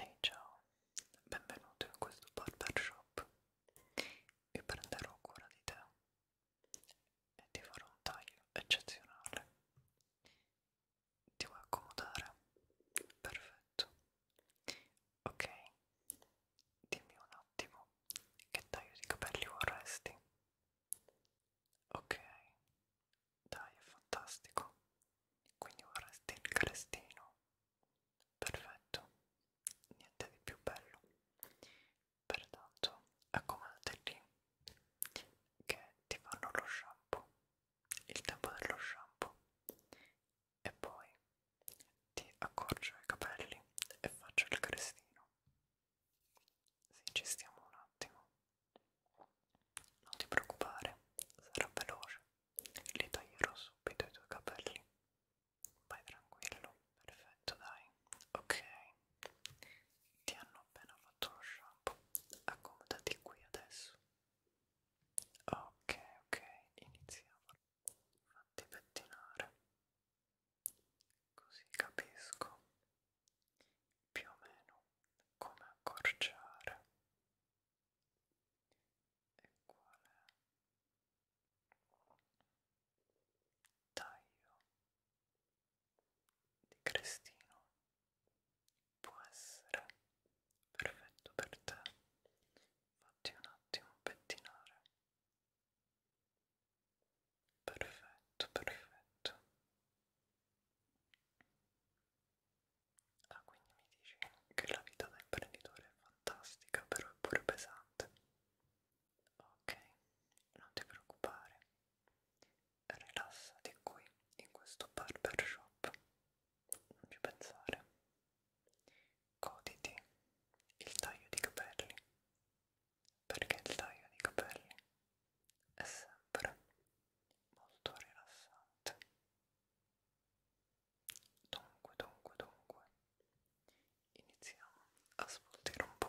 Ehi hey, ciao, benvenuto in questo barbershop. Mi prenderò cura di te e ti farò un taglio eccezionale. Ti vuoi accomodare? Perfetto. Ok, dimmi un attimo che taglio di capelli vorresti. Ok, dai è fantastico quindi un restino crestino perfetto niente di più bello pertanto accomodati lì che ti fanno lo shampoo il tempo dello shampoo e poi ti accorcio i capelli e faccio il crestino sì, ci stiamo un attimo. Non ti preoccupare, sarà veloce. Li taglierò subito i tuoi capelli. Vai tranquillo, perfetto, dai. Ok, ti hanno appena fatto lo shampoo. Accomodati qui adesso. Ok, ok, iniziamo. Fatti pettinare. Così capisco più o meno come accorciare e quale taglio di crestino può essere perfetto per te. Fatti un attimo pettinare Perfetto, perfetto. Ah, quindi mi dici che la vita da imprenditore è fantastica, però è pure pesante. Ok, non ti preoccupare. Rilassati qui, in questo barber shop. Non ci pensare. Goditi il taglio di capelli perché il taglio di capelli è sempre molto rilassante. Dunque, dunque, dunque, iniziamo a svoltire un po'.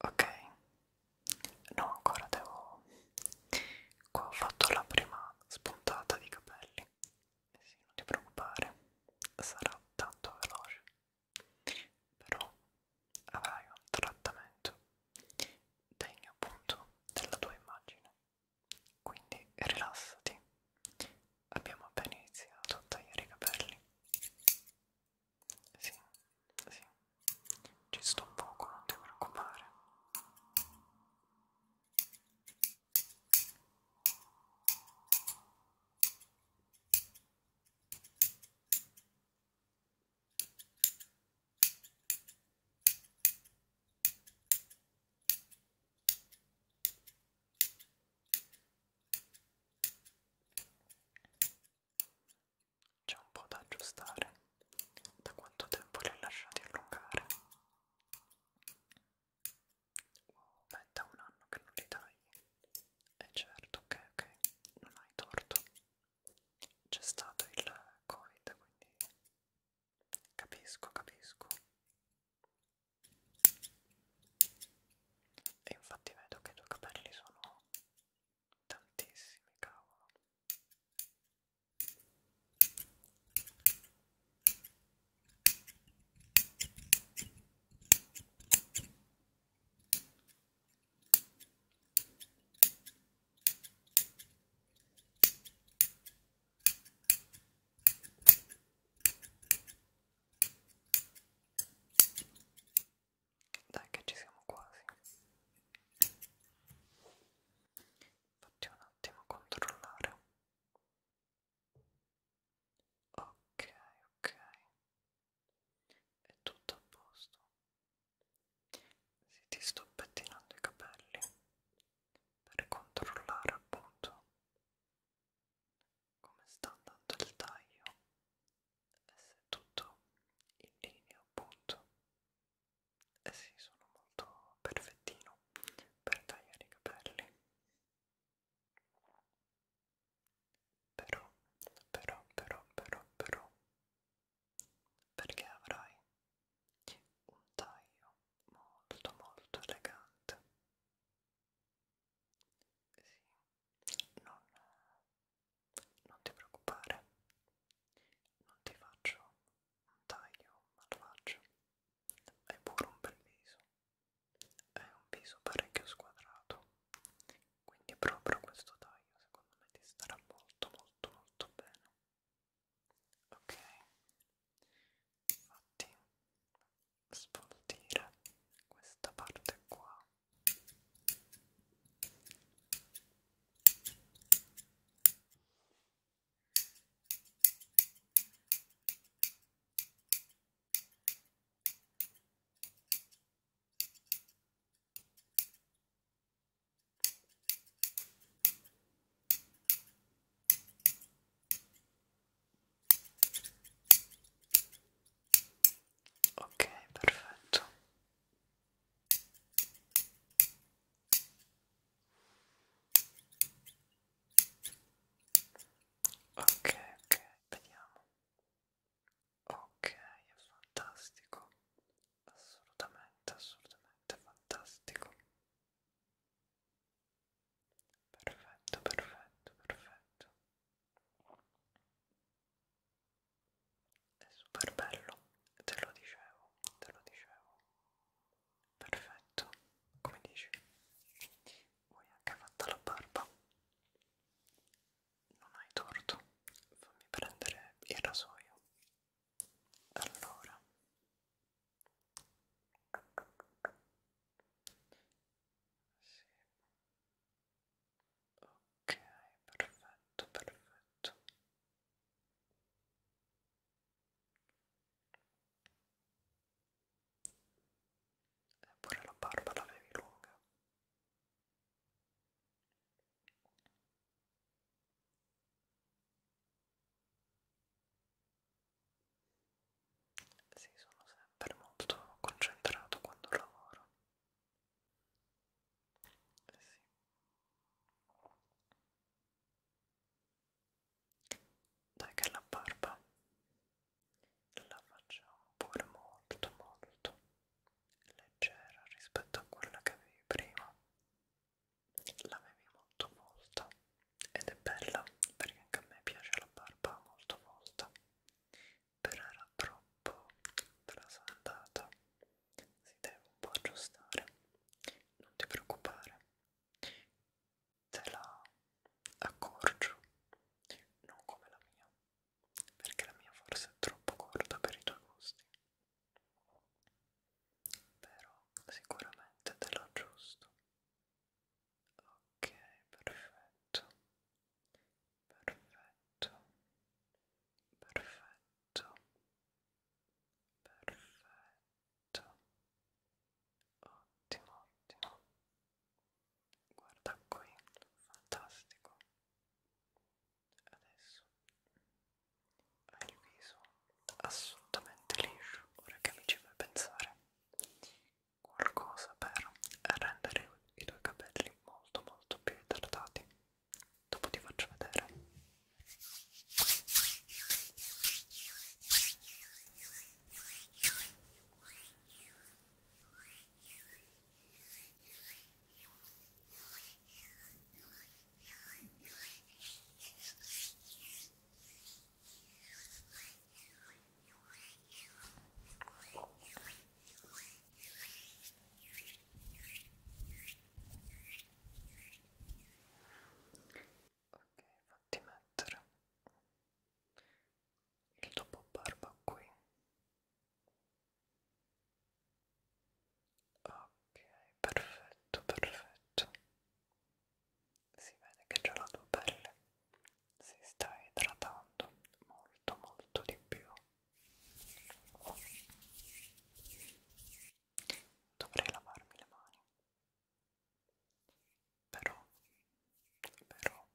ok no ancora devo qua ho fatto la prima spuntata di capelli e eh sì, non ti preoccupare sarà tanto veloce però avrai un trattamento degno appunto della tua immagine quindi rilassati Abbiamo appena iniziato a tagliare i capelli. Sì, sì, ci sto un poco, non ti preoccupare. C'è un po' da aggiustare. Da quanto tempo li ho lasciati allungare? Oh, beh, da un anno che non li tagli. E eh certo, ok, ok, non hai torto. C'è stato il Covid, quindi capisco, capisco. E infatti vedo che i tuoi capelli sono tantissimi, cavolo. Dai che ci siamo quasi. Facciamo un attimo controllare. Ok, ok. È tutto a posto. Se ti sto pettinando i capelli per controllare appunto come sta andando il taglio e se è tutto in linea appunto e si sì, sono molto perfettino per tagliare i capelli però però però però però perché avrai un taglio molto molto elegante sì, non, non ti preoccupare non ti faccio un taglio malvagio hai pure un bel viso è un viso parecchio squadrato quindi proprio questo taglio secondo me ti starà molto molto molto bene ok infatti svoltire questa parte qua ok Ok, perfetto. Ok, ok, vediamo. Ok, è fantastico assolutamente, assolutamente fantastico. Perfetto, perfetto, perfetto. È super bello, te lo dicevo, te lo dicevo. Perfetto, come dici? Vuoi anche fatta la barba? Non hai torto, fammi prendere il rasoio allora sì. ok perfetto perfetto eppure eh, la barba l'avevi lunga sì, sono sempre molto concentrato quando lavoro. Sì. Dai che la barba la facciamo pure molto molto leggera rispetto a quella che avevi prima l'avevi molto volta ed è bella perché anche a me piace la barba molto volta però era troppo trasandata si deve un po' aggiustare non ti preoccupare te la accorcio non come la mia perché la mia forse è troppo corta per i tuoi gusti. Però sicuramente te lo giusto. Ok, perfetto. Perfetto. Perfetto. Perfetto. Ottimo, ottimo. Guarda qui, fantastico adesso hai il viso assolutamente liscio ora che mi ci fai pensare qualcosa per rendere i tuoi capelli molto molto più idratati dopo ti faccio vedere Ok, fatti mettere il dopo barba qui Ok, perfetto, perfetto. Si vede che già la tua pelle si sta idratando molto molto di più. Dovrei lavarmi le mani. Però, però,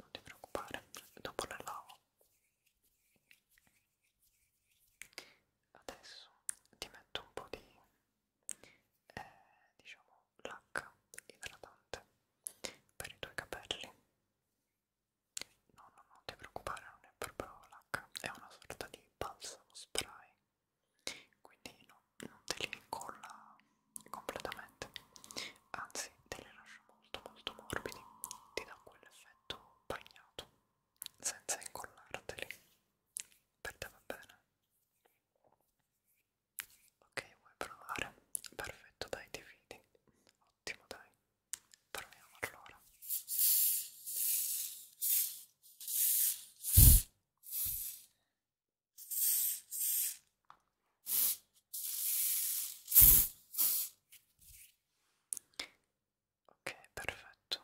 non ti preoccupare, dopo la lavo. Adesso ti metto un po' di, eh, diciamo, lacca idratante per i tuoi capelli. No, no, non ti preoccupare, non è proprio lacca, è una sorta di balsamo spray quindi no, non te li incolla completamente, anzi te li lascia molto molto morbidi, ti dà quell'effetto bagnato senza incollarteli, per te va bene. Ok, vuoi provare? Perfetto, dai, ti fidi. Ottimo, dai. Proviamo allora. Ok, perfetto.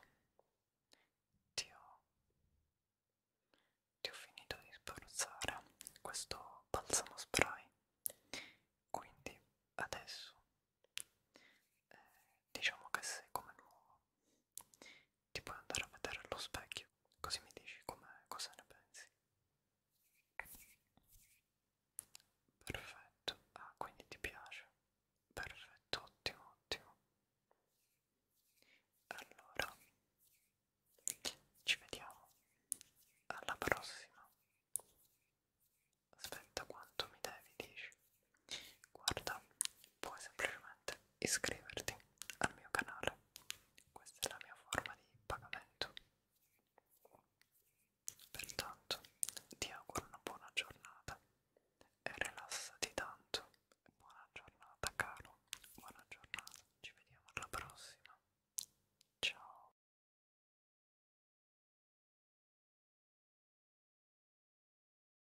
Ti ho, ti ho finito di spruzzare questo balsamo spray. Quindi adesso eh, diciamo che sei come nuovo ti puoi andare a vedere allo specchio, così mi dici com'è, cosa ne pensi. Perfetto, ah quindi ti piace? Perfetto, ottimo, ottimo. Allora, ci vediamo alla prossima. Aspetta quanto mi devi, dici? guarda puoi semplicemente iscriverti al mio canale questa è la mia forma di pagamento pertanto ti auguro una buona giornata e rilassati tanto buona giornata caro buona giornata ci vediamo alla prossima ciao